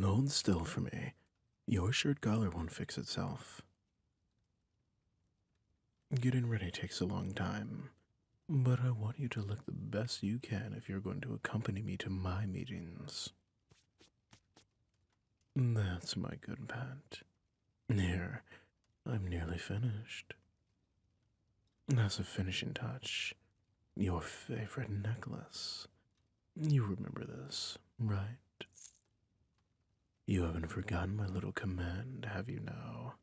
Hold still for me. Your shirt collar won't fix itself. Getting ready takes a long time, but I want you to look the best you can if you're going to accompany me to my meetings. That's my good pant. Here, I'm nearly finished. As a finishing touch, your favorite necklace. You remember this, right? You haven't forgotten my little command, have you now?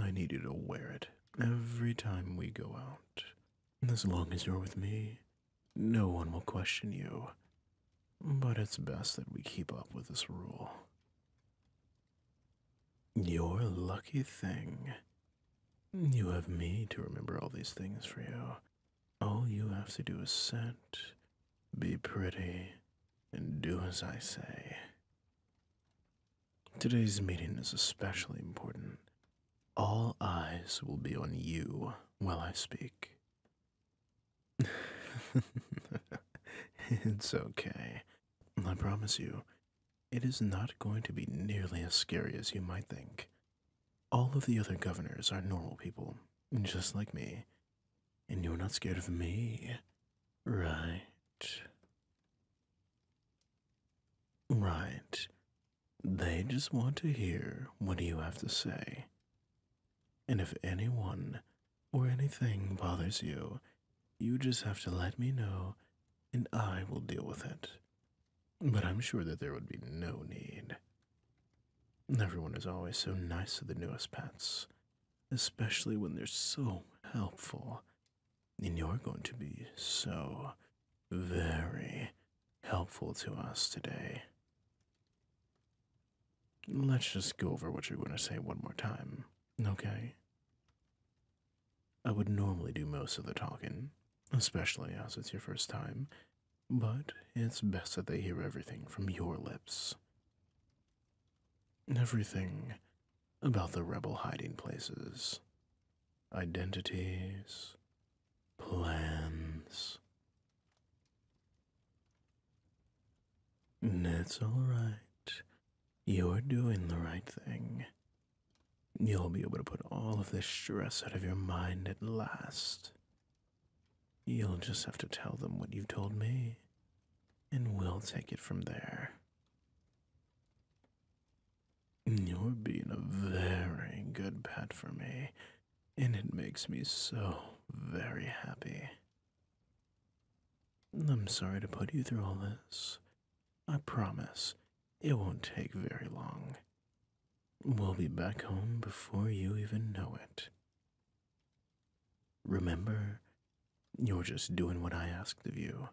I need you to wear it every time we go out. As long as you're with me, no one will question you. But it's best that we keep up with this rule. You're a lucky thing. You have me to remember all these things for you. All you have to do is sit, be pretty, and do as I say. Today's meeting is especially important. All eyes will be on you while I speak. it's okay. I promise you, it is not going to be nearly as scary as you might think. All of the other governors are normal people, just like me, and you're not scared of me, right? Right. They just want to hear what you have to say. And if anyone or anything bothers you, you just have to let me know, and I will deal with it. But I'm sure that there would be no need. Everyone is always so nice to the newest pets, especially when they're so helpful. And you're going to be so very helpful to us today. Let's just go over what you're going to say one more time. Okay. I would normally do most of the talking, especially as it's your first time, but it's best that they hear everything from your lips. Everything about the rebel hiding places, identities, plans. That's all right. You're doing the right thing. You'll be able to put all of this stress out of your mind at last. You'll just have to tell them what you told me, and we'll take it from there. You're being a very good pet for me, and it makes me so very happy. I'm sorry to put you through all this. I promise it won't take very long. We'll be back home before you even know it. Remember, you're just doing what I asked of you,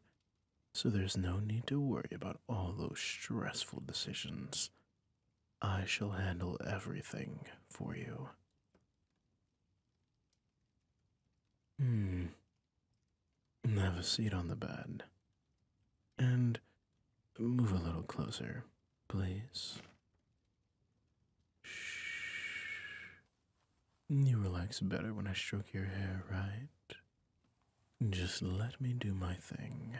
so there's no need to worry about all those stressful decisions. I shall handle everything for you. Hmm, have a seat on the bed. And move a little closer, please. Shh. You relax better when I stroke your hair, right? Just let me do my thing.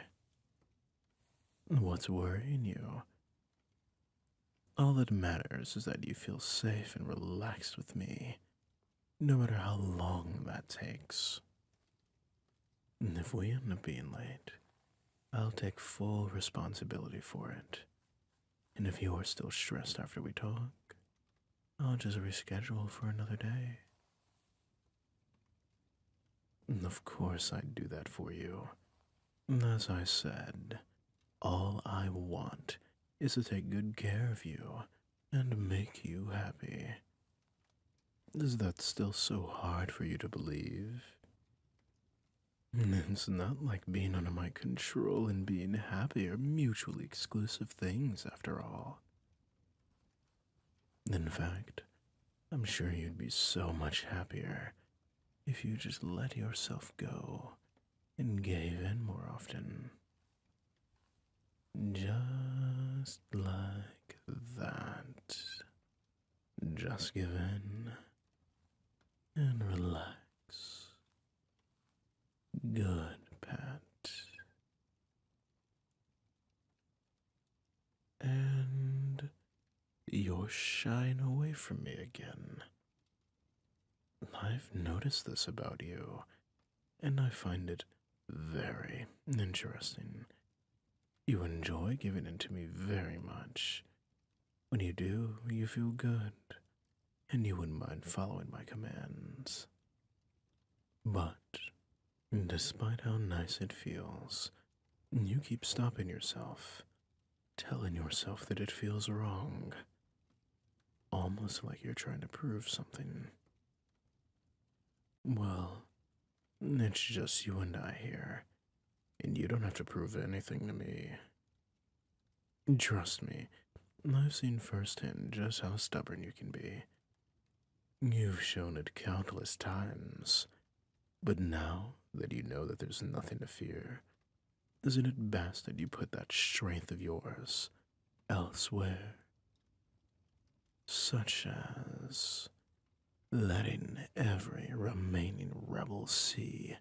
What's worrying you? All that matters is that you feel safe and relaxed with me no matter how long that takes. And if we end up being late, I'll take full responsibility for it. And if you're still stressed after we talk, I'll just reschedule for another day. of course, I'd do that for you. As I said, all I want is to take good care of you and make you happy. Is that still so hard for you to believe? It's not like being under my control and being happy are mutually exclusive things, after all. In fact, I'm sure you'd be so much happier if you just let yourself go and gave in more often. Just like that. Just give in and relax. Good, Pat. And you're shying away from me again. I've noticed this about you, and I find it very interesting. You enjoy giving in to me very much. When you do, you feel good, and you wouldn't mind following my commands. But, despite how nice it feels, you keep stopping yourself, telling yourself that it feels wrong, almost like you're trying to prove something. Well, it's just you and I here, and you don't have to prove anything to me. Trust me, I've seen firsthand just how stubborn you can be. You've shown it countless times, but now that you know that there's nothing to fear, isn't it best that you put that strength of yours elsewhere, such as letting every remaining rebel see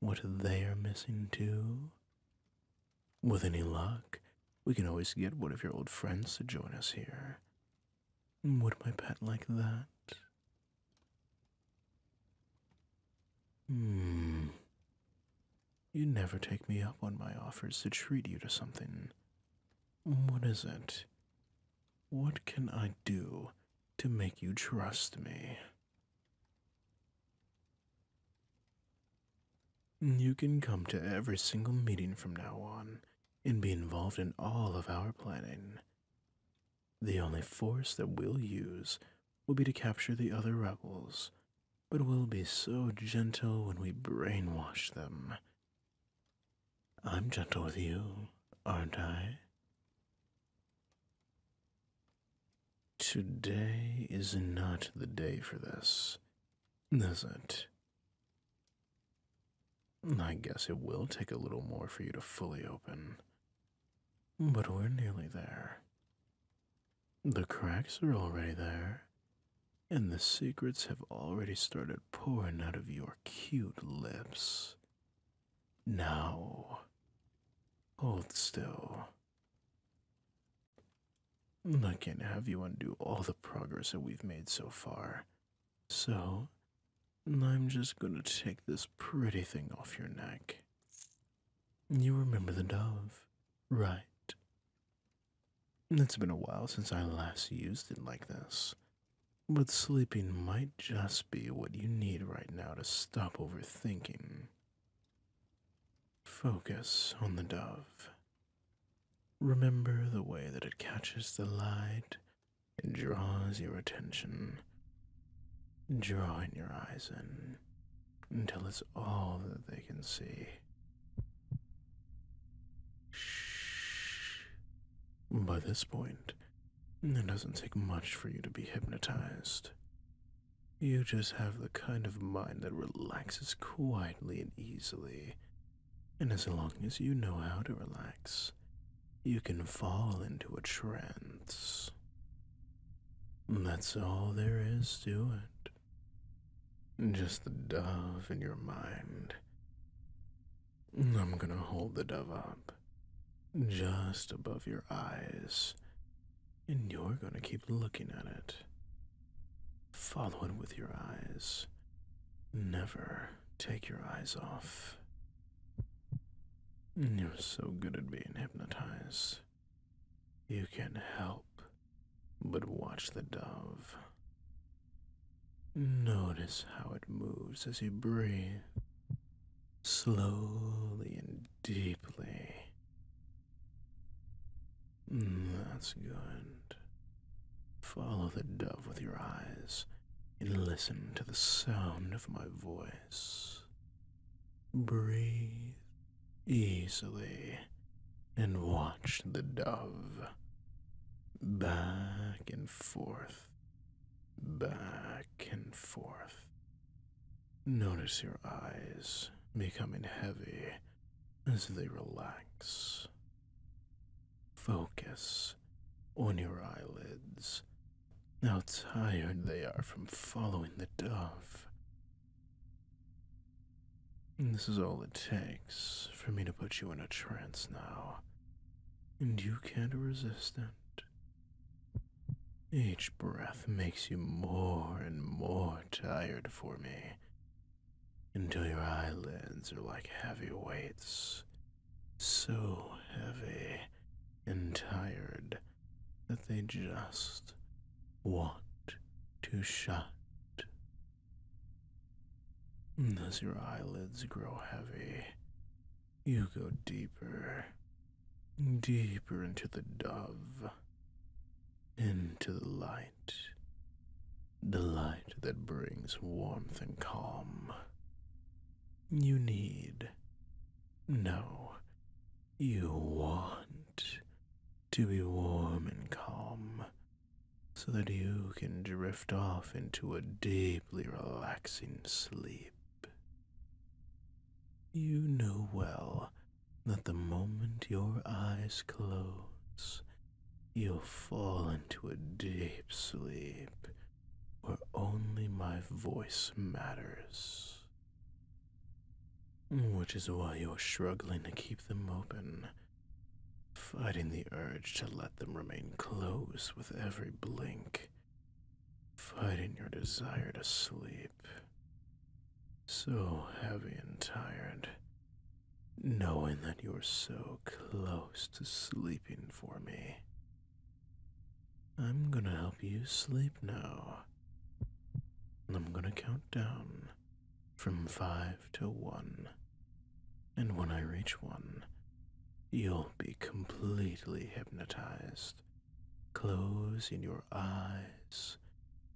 what they are missing too. With any luck, we can always get one of your old friends to join us here. Would my pet like that? Hmm. You never take me up on my offers to treat you to something. What is it? What can I do to make you trust me? You can come to every single meeting from now on and be involved in all of our planning. The only force that we'll use will be to capture the other rebels but we will be so gentle when we brainwash them. I'm gentle with you, aren't I? Today is not the day for this, is it? I guess it will take a little more for you to fully open. But we're nearly there. The cracks are already there, and the secrets have already started pouring out of your cute lips. Now, hold still. I can't have you undo all the progress that we've made so far, so I'm just gonna take this pretty thing off your neck. You remember the dove, Right. It's been a while since I last used it like this. But sleeping might just be what you need right now to stop overthinking. Focus on the dove. Remember the way that it catches the light and draws your attention, drawing your eyes in until it's all that they can see. Shh. By this point, it doesn't take much for you to be hypnotized. You just have the kind of mind that relaxes quietly and easily. And as long as you know how to relax, you can fall into a trance. That's all there is to it. Just the dove in your mind. I'm gonna hold the dove up just above your eyes, and you're gonna keep looking at it. Follow it with your eyes. Never take your eyes off. You're so good at being hypnotized. You can help but watch the dove. Notice how it moves as you breathe, slowly and deeply. That's good. Follow the dove with your eyes and listen to the sound of my voice. Breathe easily and watch the dove back and forth, back and forth. Notice your eyes becoming heavy as they relax. Focus on your eyelids, how tired they are from following the dove this is all it takes for me to put you in a trance now, and you can't resist it. Each breath makes you more and more tired for me, until your eyelids are like heavy weights, so heavy and tired that they just want to shut. As your eyelids grow heavy, you go deeper, deeper into the dove, into the light, the light that brings warmth and calm. You need, no, you want to be warm and calm so that you can drift off into a deeply relaxing sleep. You know well that the moment your eyes close, you'll fall into a deep sleep where only my voice matters. Which is why you're struggling to keep them open, fighting the urge to let them remain closed with every blink, fighting your desire to sleep. So heavy and tired, knowing that you're so close to sleeping for me. I'm gonna help you sleep now. I'm going to count down from five to one. And when I reach one, you'll be completely hypnotized. Close your eyes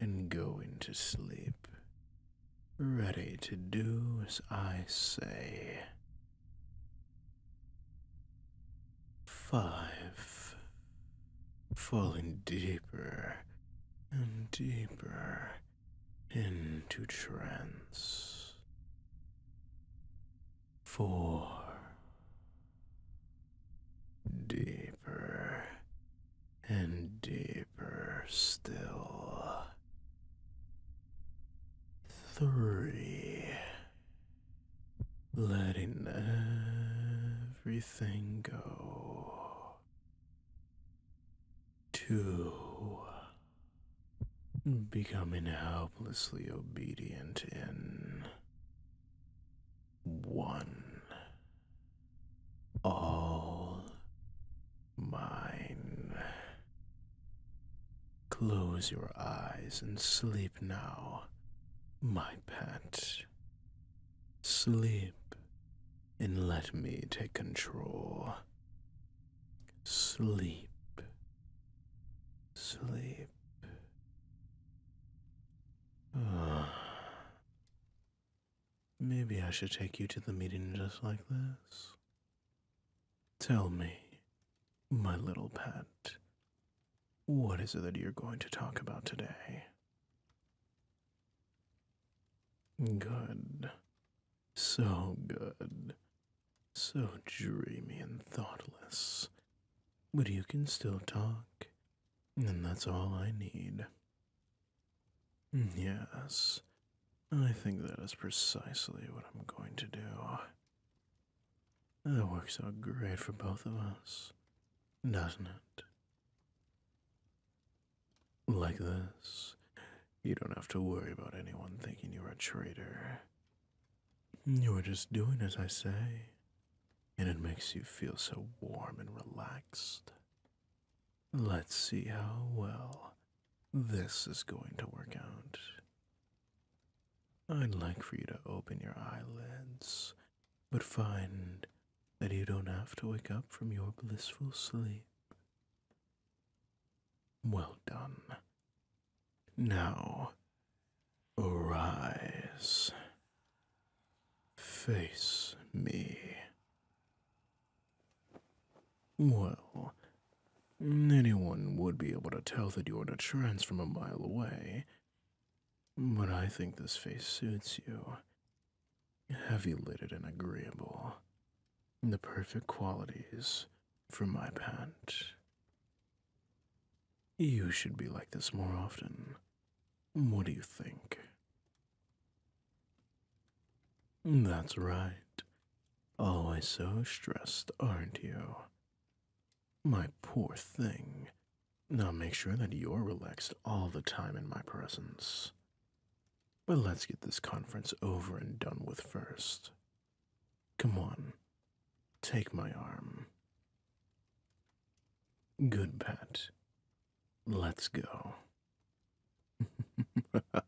and go into sleep. Ready to do as I say five, falling deeper and deeper into trance. Four, deeper and deeper still. Three, letting everything go. Two, becoming helplessly obedient in one, all mine. Close your eyes and sleep now, my pet. Sleep and let me take control. Sleep. Sleep. Maybe I should take you to the meeting just like this. Tell me, my little pet, what is it that you're going to talk about today? Good. So good. So dreamy and thoughtless. But you can still talk, and that's all I need. Yes, I think that is precisely what I'm going to do. That works out great for both of us, doesn't it? Like this, you don't have to worry about anyone thinking you're a traitor. You are just doing as I say, and it makes you feel so warm and relaxed. Let's see how well this is going to work out. I'd like for you to open your eyelids but find that you don't have to wake up from your blissful sleep. Well done. Now, arise. Face me. Well, anyone would be able to tell that you're in a trance from a mile away, but I think this face suits you. Heavy lidded and agreeable. The perfect qualities for my pant. You should be like this more often. What do you think? That's right. Always so stressed, aren't you? My poor thing. Now make sure that you're relaxed all the time in my presence. But let's get this conference over and done with first. Come on, take my arm. Good pet. Let's go.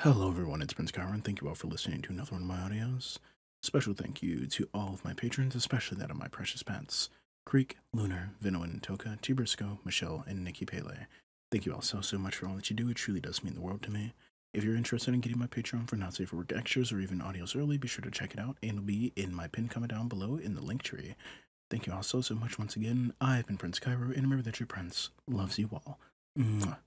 Hello everyone, it's Prince Kyron. Thank you all for listening to another one of my audios. Special thank you to all of my patrons, especially that of my precious pets, Creek, Lunar, Vinoan, Toka, T. Michelle, and Nikki Pele. Thank you all so, so much for all that you do. It truly does mean the world to me. If you're interested in getting my Patreon for Not Safe for Work extras or even audios early, be sure to check it out. and It'll be in my pinned comment down below in the link tree. Thank you all so, so much once again. I've been Prince Cairo, and remember that your prince loves you all. Mwah.